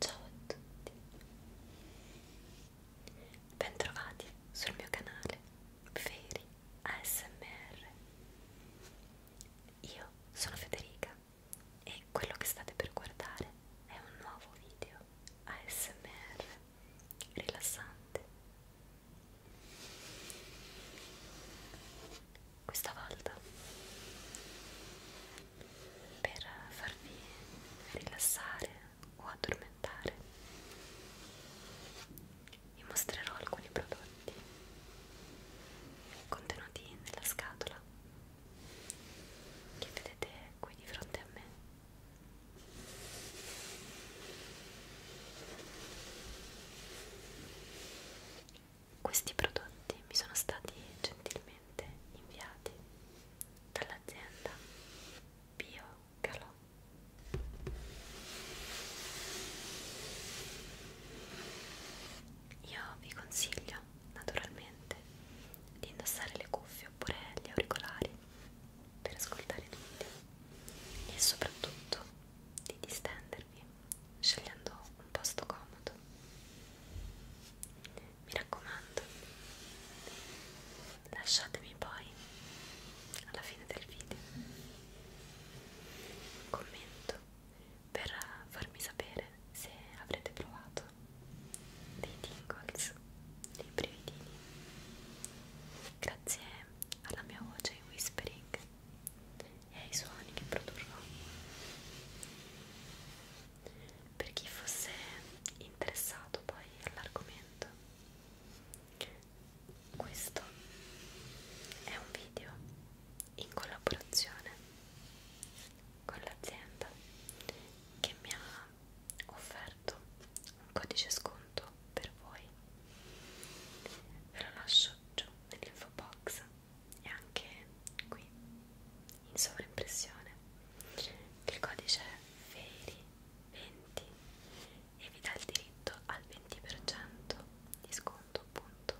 Ciao a tutti, bentrovati sul mio canale Feri ASMR. Io sono Federica e quello che state per guardare è un nuovo video ASMR rilassante questa volta per farvi rilassare o addormentare vi mostrerò alcuni prodotti contenuti nella scatola che vedete qui di fronte a me questi prodotti mi sono stati gentilmente inviati dall'azienda Bio Calò. Io vi consiglio naturalmente di indossare le cuffie oppure gli auricolari per ascoltare tutti e soprattutto di distendervi scegliendo un posto comodo. Mi raccomando, lasciatemi poi alla fine del video un commento per farmi sapere se avrete provato dei tingles, dei brividini grazie alla mia voce in whispering e ai suoni che produrrò per chi fosse interessato poi all'argomento questo è un video in collaborazione con l'azienda che mi ha offerto un codice sconto per voi ve lo lascio giù nell'info box e anche qui in sovraimpressione il codice è FERI20 e vi dà il diritto al 20% di sconto appunto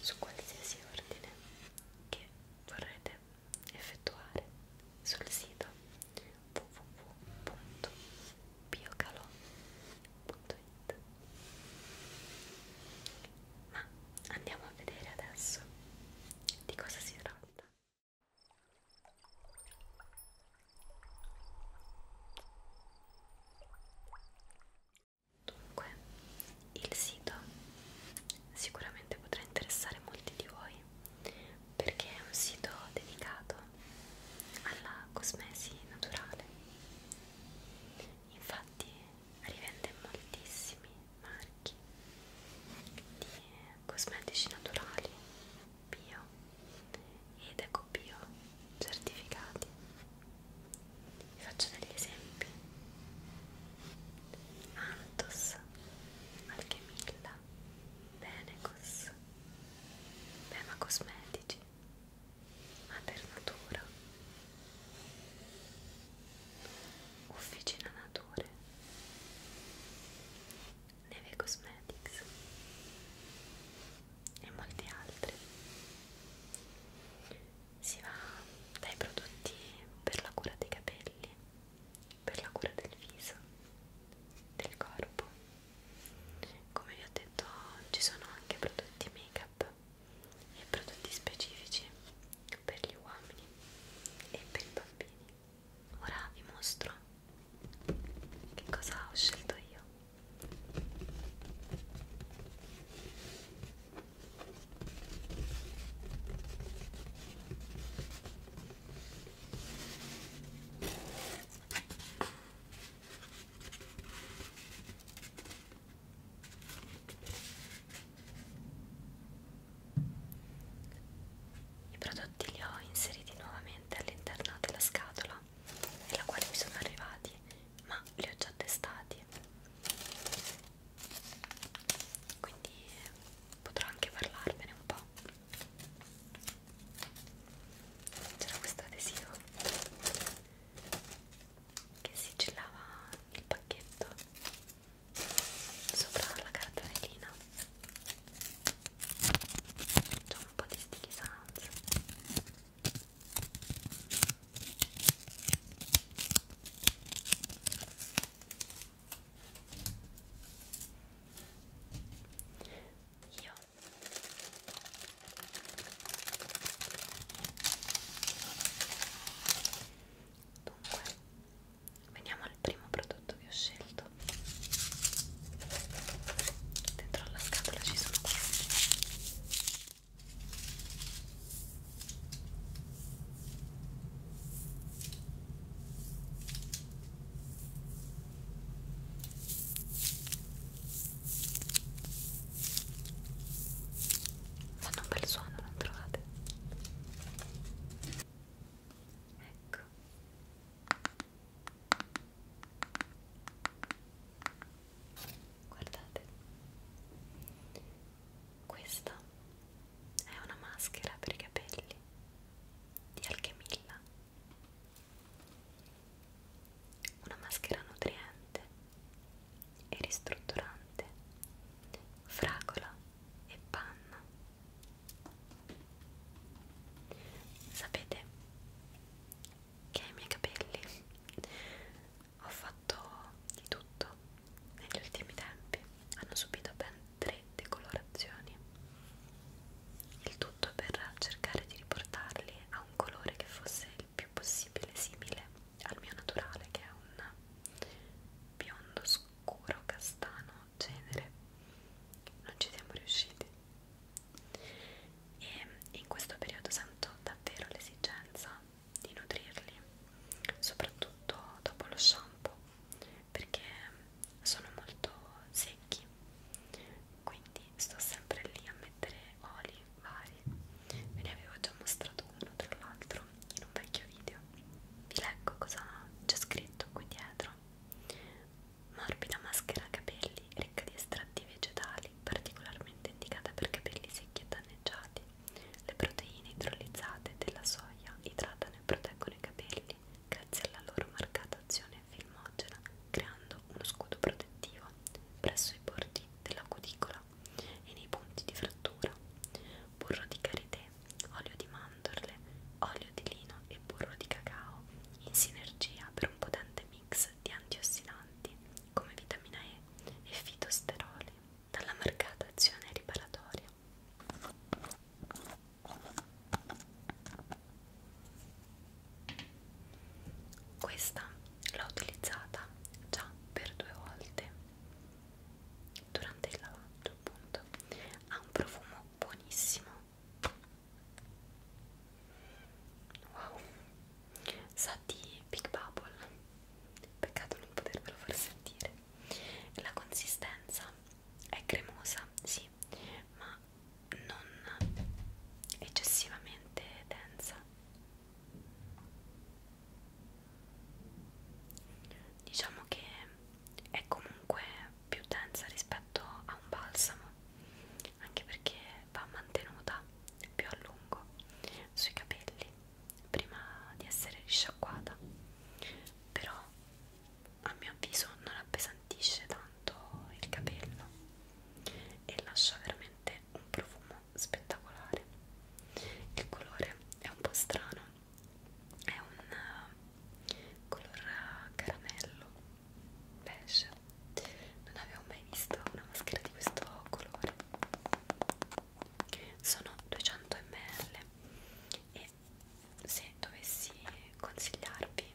su qualsiasi ordine che vorrete effettuare sul sito www.biocalò.it ma andiamo a vedere adesso di cosa si tratta Dunque, il sito sicuramente potrà interessare molti di voi perché è un sito dedicato alla cosmesi naturale infatti rivende moltissimi marchi di cosmetici naturali bio ed ecobio certificati vi faccio degli esempi Antos, Alchemilla, Benecos, Bema Cosmetici, Maternatura, Officina Nature, Neve Cosmetics e molti altri. Si va dai prodotti per la cura dei capelli per la cura del viso, del corpo. Come vi ho detto, ci sono anche prodotti make-up e prodotti specifici per gli uomini e per i bambini. Ora vi mostro che cosa ho scelto io. I prodotti li ho inseriti nuovamente all'interno della scatola nella quale mi sono arrivati, ma li ho già testati quindi potrò anche parlarvene un po' c'era questo adesivo che sigillava il pacchetto sopra la cartellina c'è un po' di sticky sounds io Dunque, veniamo al primo prodotto che ho scelto. Dentro alla scatola ci sono questi. Fanno un bel suono, non trovate? Ecco. Guardate questa è una maschera per i capelli di Alchemilla. Una maschera nutriente e ristrutturante, fragola e panna. Sapete che i miei capelli ho fatto di tutto negli ultimi tempi hanno subito ben tre decolorazioni il tutto per cercare di riportarli a un colore che fosse il più possibile simile al mio naturale che è un biondo scuro castano genere non ci siamo riusciti e in questo periodo sento davvero l'esigenza di nutrirli, soprattutto dopo lo shampoo, perché sono molto secchi, quindi sto sempre lì a mettere oli vari, ve ne avevo già mostrato uno tra l'altro in un vecchio video, vi leggo cosa c'è scritto qui dietro. Morbida maschera capelli ricca di estratti vegetali, particolarmente indicata per capelli secchi e danneggiati, le proteine idrolizzate della soia idratano e proteggono i capelli grazie alla loro marcata azione filmogena, creando uno scudo protettivo presso i bordi della cuticola e nei punti di frattura. Burro di karité, olio di mandorle, olio di lino e burro di cacao in sinergia per un potente mix di antiossidanti come vitamina E e fitosteroli dalla marcata azione riparatoria. Questa l'ho utilizzata già per due volte durante il lavaggio, appunto. Ha un profumo buonissimo. Wow, sa di Big Bubble peccato non potervelo far sentire la consistenza è cremosa sì ma non eccessivamente densa diciamo che è comunque più densa rispetto a un balsamo anche perché va mantenuta più a lungo sui capelli prima di essere risciacquata però a mio avviso non appesantisce tanto il capello e lascia veramente un profumo spettacolare il colore è un po' strano è un eh, color eh, caramello beige non avevo mai visto una maschera di questo colore sono 200 ml e se dovessi consigliarvi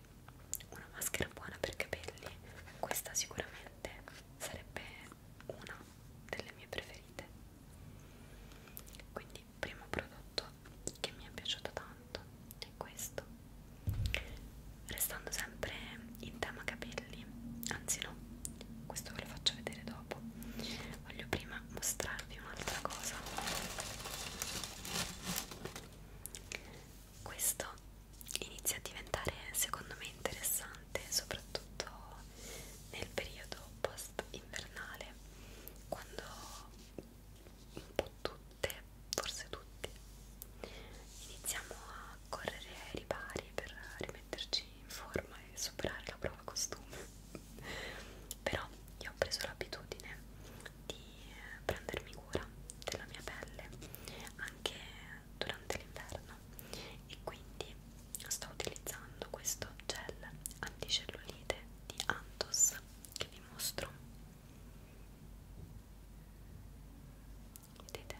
una maschera buona per capelli questa sicuramente sarebbe una delle mie preferite quindi primo prodotto che mi è piaciuto tanto è questo restando sempre in tema capelli anzi no questo ve lo faccio vedere dopo voglio prima mostrarvi un'altra cosa questo inizia a diventare secondo me interessante soprattutto nel periodo post invernale quando un po' tutte forse tutti iniziamo a a correre ai ripari per rimetterci in forma e superare la prova costume però io ho preso l'abitudine di eh, prendermi cura della mia pelle anche durante l'inverno e quindi sto utilizzando questo gel anticellulite di Antos che vi mostro vedete?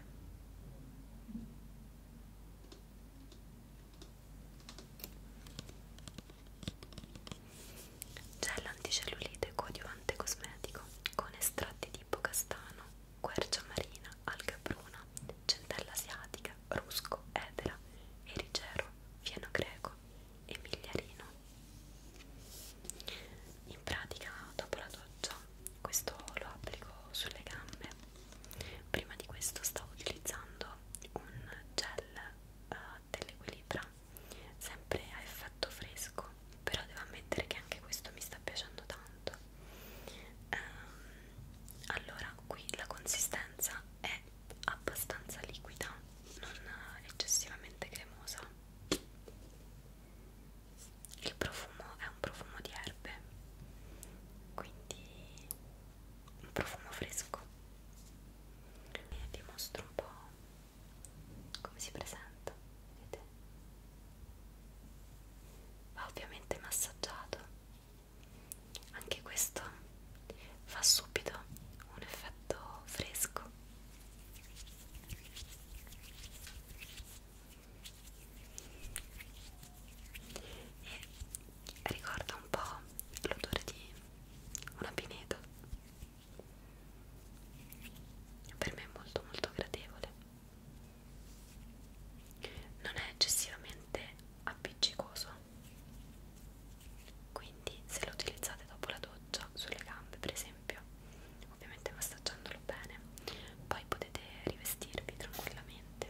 Gel anticellulite coadiuvante cosmetico con estratti di ipocastano, quercia marina, alga bruna, centella asiatica, rusco, edera, erigero, fieno greco e migliarino. In pratica, dopo la doccia questo lo applico sulle gambe prima di questo stavo utilizzando un gel uh, dell'equilibra sempre a effetto fresco però devo ammettere che anche questo mi sta piacendo tanto um, allora qui la consistenza è abbastanza liquida non eccessivamente cremosa il profumo è un profumo di erbe quindi un profumo fresco e vi mostro un po' come si presenta vedete? va ovviamente massaggiato anche questo fa subito un effetto fresco e ricorda un po' l'odore di un abbineto per me è molto molto gradevole non è eccessivamente appiccicoso quindi se lo utilizzate dopo la doccia sulle gambe per esempio ovviamente massaggiandolo bene poi potete rivestirvi tranquillamente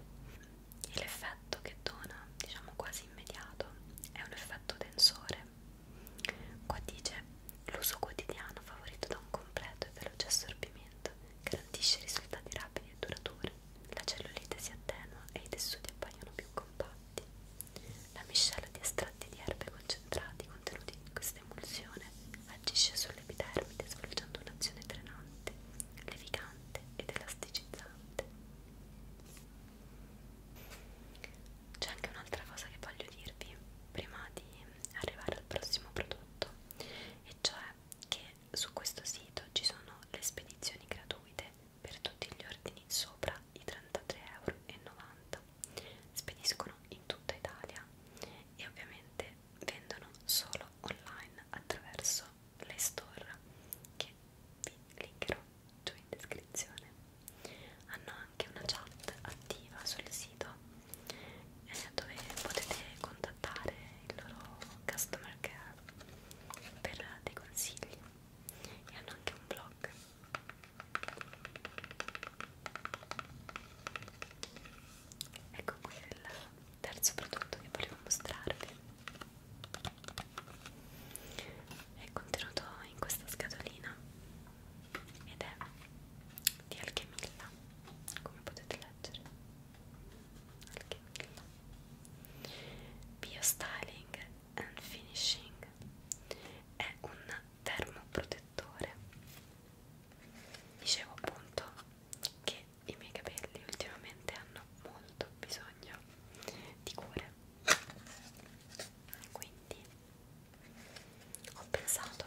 e l'effetto che dona diciamo quasi immediato è un effetto tensore qua dice l'uso quotidiano favorito da un completo e veloce assorbimento garantisce risultati rapidi e duraturi la cellulite si attenua e i tessuti appaiono più compatti la miscela di estratti di erbe concentrati contenuti in questa emulsione agisce sull'epidermide svolgendo un'azione drenante, levigante ed elasticizzante. C'è anche un'altra cosa che voglio dirvi prima di arrivare al prossimo prodotto, e cioè che su questo sito ci sono le spedizioni gratuite per tutti gli ordini sopra i 33,90 euro. Spediscono in tutta Italia e ovviamente vendono solo online attraverso le store che vi linkerò giù in descrizione. Hanno anche una chat attiva sul sito eh, dove potete contattare il loro customer care per dei consigli e hanno anche un blog ecco qui il terzo prodotto che volevo mostrarvi è contenuto in questa scatolina ed è di alchemilla come potete leggere alchemilla bio styling and finishing è un termoprotettore correttore dicevo appunto che i miei capelli ultimamente hanno molto bisogno di cure quindi ho pensato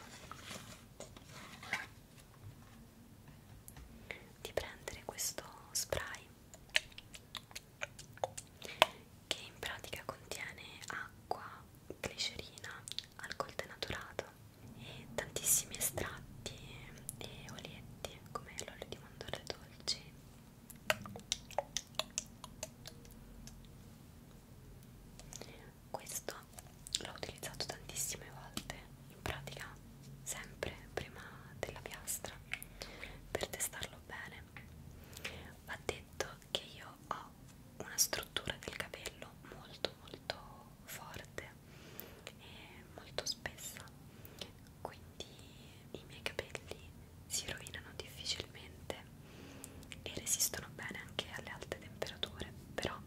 di prendere questo spray che in pratica contiene acqua, glicerina alcol denaturato e tantissimi estratti e olietti come l'olio di mandorle dolci questo l'ho utilizzato tantissime volte in pratica sempre prima della piastra per testarlo bene va detto che io ho una struttura del capello molto molto forte e molto spessa quindi i miei capelli si rovinano difficilmente e resistono bene anche alle alte temperature però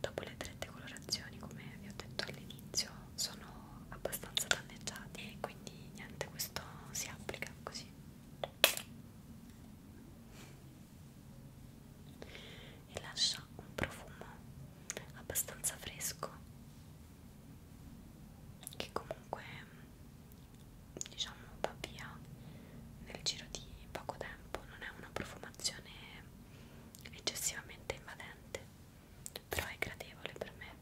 dopo le tre decolorazioni come vi ho detto all'inizio sono abbastanza danneggiati e quindi niente questo si applica così e lascia un profumo abbastanza fresco che comunque diciamo va via nel giro di poco tempo non è una profumazione eccessivamente invadente però è gradevole per me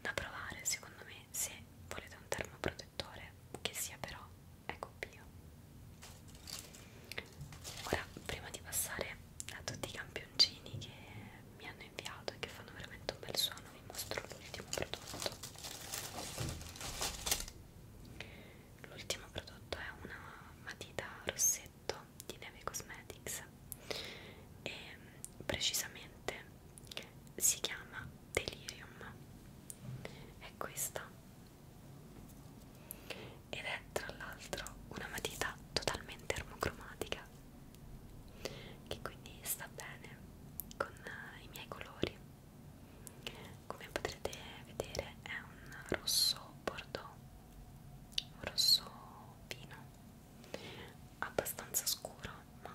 da provare secondo me e se volete un termoprotettore che sia però ecco bio ora prima di passare a tutti i campioncini che mi hanno inviato e che fanno veramente un bel suono vi mostro l'ultimo prodotto l'ultimo prodotto è una matita rossetto di Neve Cosmetics e precisamente si chiama Delirium è questa ed è tra l'altro una matita totalmente armocromatica che quindi sta bene con eh, i miei colori come potrete vedere è un rosso bordeaux un rosso vino abbastanza scuro ma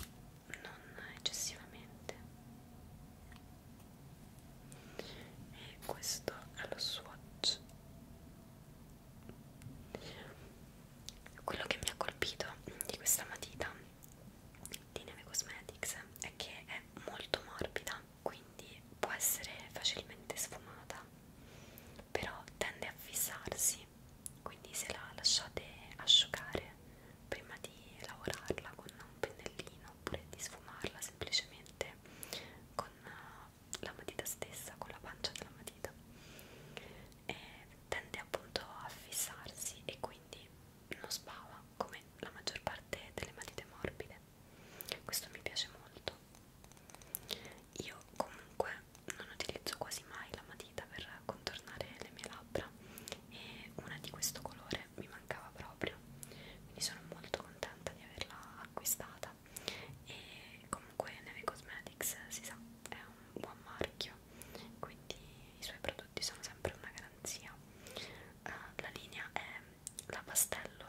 non eccessivamente e questo è lo swatch quello che mi ha colpito di questa matita di Neve Cosmetics è che è molto morbida quindi può essere facilmente sfumata però tende a fissarsi quindi se la lasciate asciugare prima di lavorarla con un pennellino oppure di sfumarla semplicemente con eh, la matita stessa, con la pancia della matita e tende appunto a fissarsi e quindi non sbava come la maggior parte delle matite morbide questo mi piace molto io comunque non utilizzo quasi mai la matita per contornare le mie labbra e una di questo colore mi mancava proprio quindi sono molto contenta di averla acquistata e comunque Neve Cosmetics si sa è un buon marchio quindi i suoi prodotti sono sempre una garanzia uh, la linea è la pastello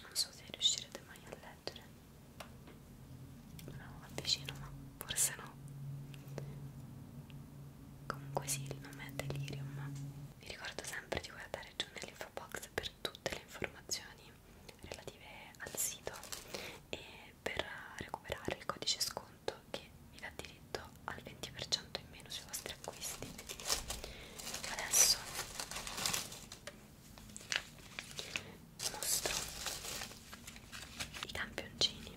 non so se riuscirete mai a leggere no, avvicino ma forse no comunque sì, il nome è Delirium vi ricordo sempre di guardare giù nell'info box per tutte le informazioni relative al sito e per recuperare il codice sconto che vi dà diritto al 20% in meno sui vostri acquisti adesso mostro i campioncini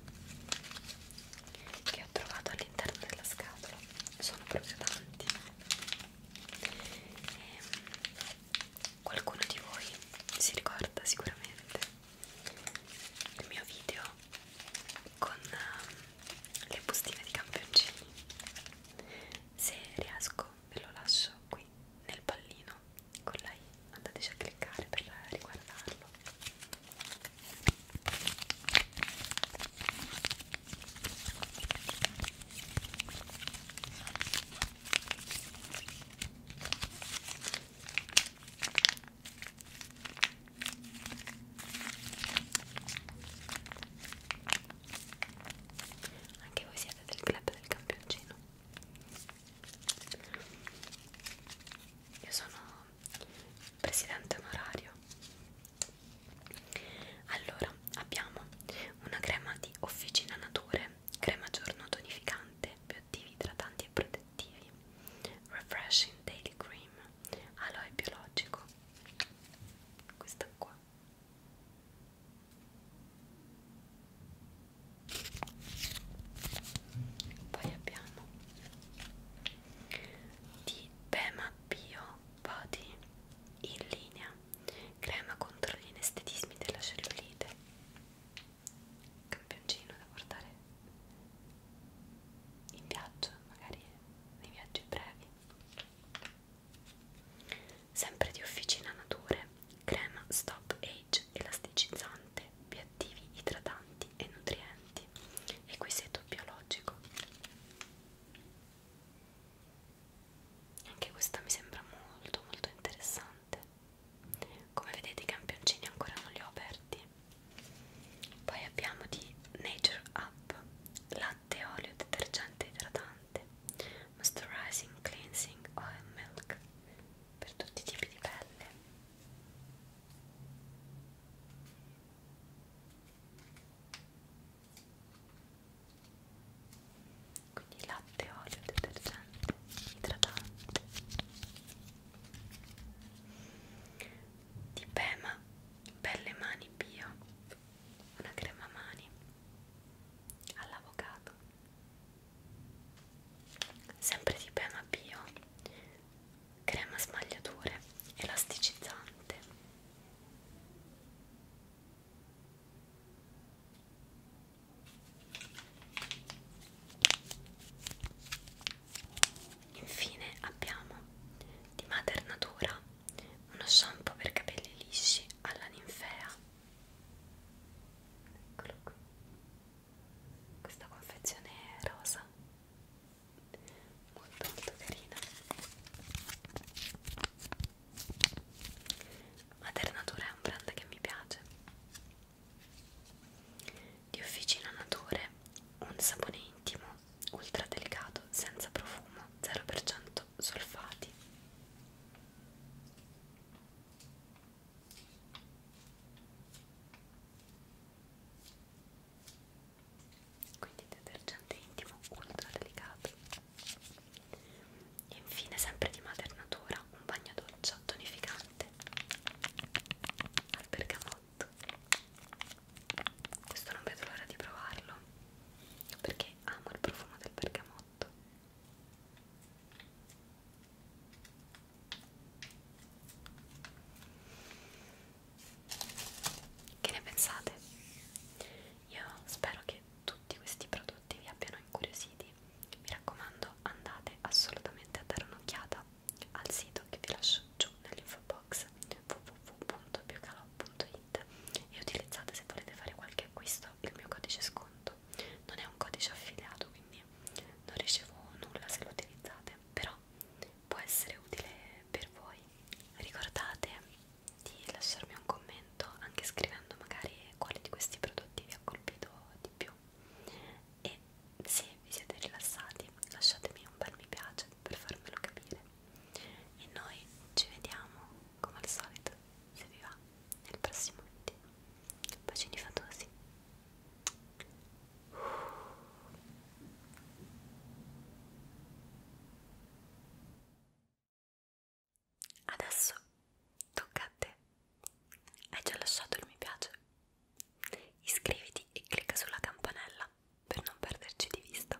che ho trovato all'interno della scatola sono proprio tanti e ehm, qualcuno di voi si ricorda sicuramente il mio video con ehm, le bustine di campioncini se riesco ve lo lascio qui nel pallino no, con la I andateci a cliccare per riguardarlo anche voi siete del club del campioncino io sono presidente onorario. Allora, abbiamo una crema di Officina Nature, crema giorno tonificante, bioattivi, idratanti e protettivi, Refreshing Daily Cream, aloe biologico, questa qua poi abbiamo di Bema Bio Body in linea crema contro gli inestetismi della cellulite campioncino da portare in viaggio magari nei viaggi brevi sempre di Officina Nature, crema stop age elasticizzante, obiettivi idratanti e nutrienti, equiseto biologico. Anche questa mi sembra molto molto interessante. Come vedete i campioncini ancora non li ho aperti. Poi abbiamo di Nature Up, latte, olio, detergente idratante moisturizing, cleansing, oil milk per tutti i tipi di pelle. Quindi latte, olio, detergente, idratante. Di Pema, Belle Mani Bio, una crema mani all'avocado sempre di Pena Bio crema smagliature elasticizzante infine abbiamo di Mater Natura uno shampoo per capelli lisci alla ninfea Eccolo qui. Questa confezione è rosa. Molto molto carina. Maternatura è un brand che mi piace. Di Officina Nature, un sapone intimo, ultra delicato, senza profumo, 0% solfati quindi detergente intimo ultra delicato e infine sempre di Mater Natura un bagno doccia tonificante al bergamotto questo non vedo l'ora di provarlo perché amo il profumo del bergamotto che ne pensate? Io spero che tutti questi prodotti vi abbiano incuriositi. Mi raccomando, andate assolutamente a dare un'occhiata al sito che vi lascio giù nell'info box www.piocalò.it It e utilizzate se volete fare qualche acquisto il mio codice sconto non è un codice affiliato quindi non ricevo nulla se lo utilizzate però può essere utile per voi ricordate di lasciarmi un commento anche scrivendo magari quale di questi prodotti vi ha colpito di più e se vi siete rilassati lasciatemi un bel mi piace per farmelo capire e noi ci vediamo come al solito se vi va nel prossimo video. Bacini fatosi. Adesso tocca a te. Hai già lasciato il mi piace? Iscriviti e clicca sulla campanella per non perderci di vista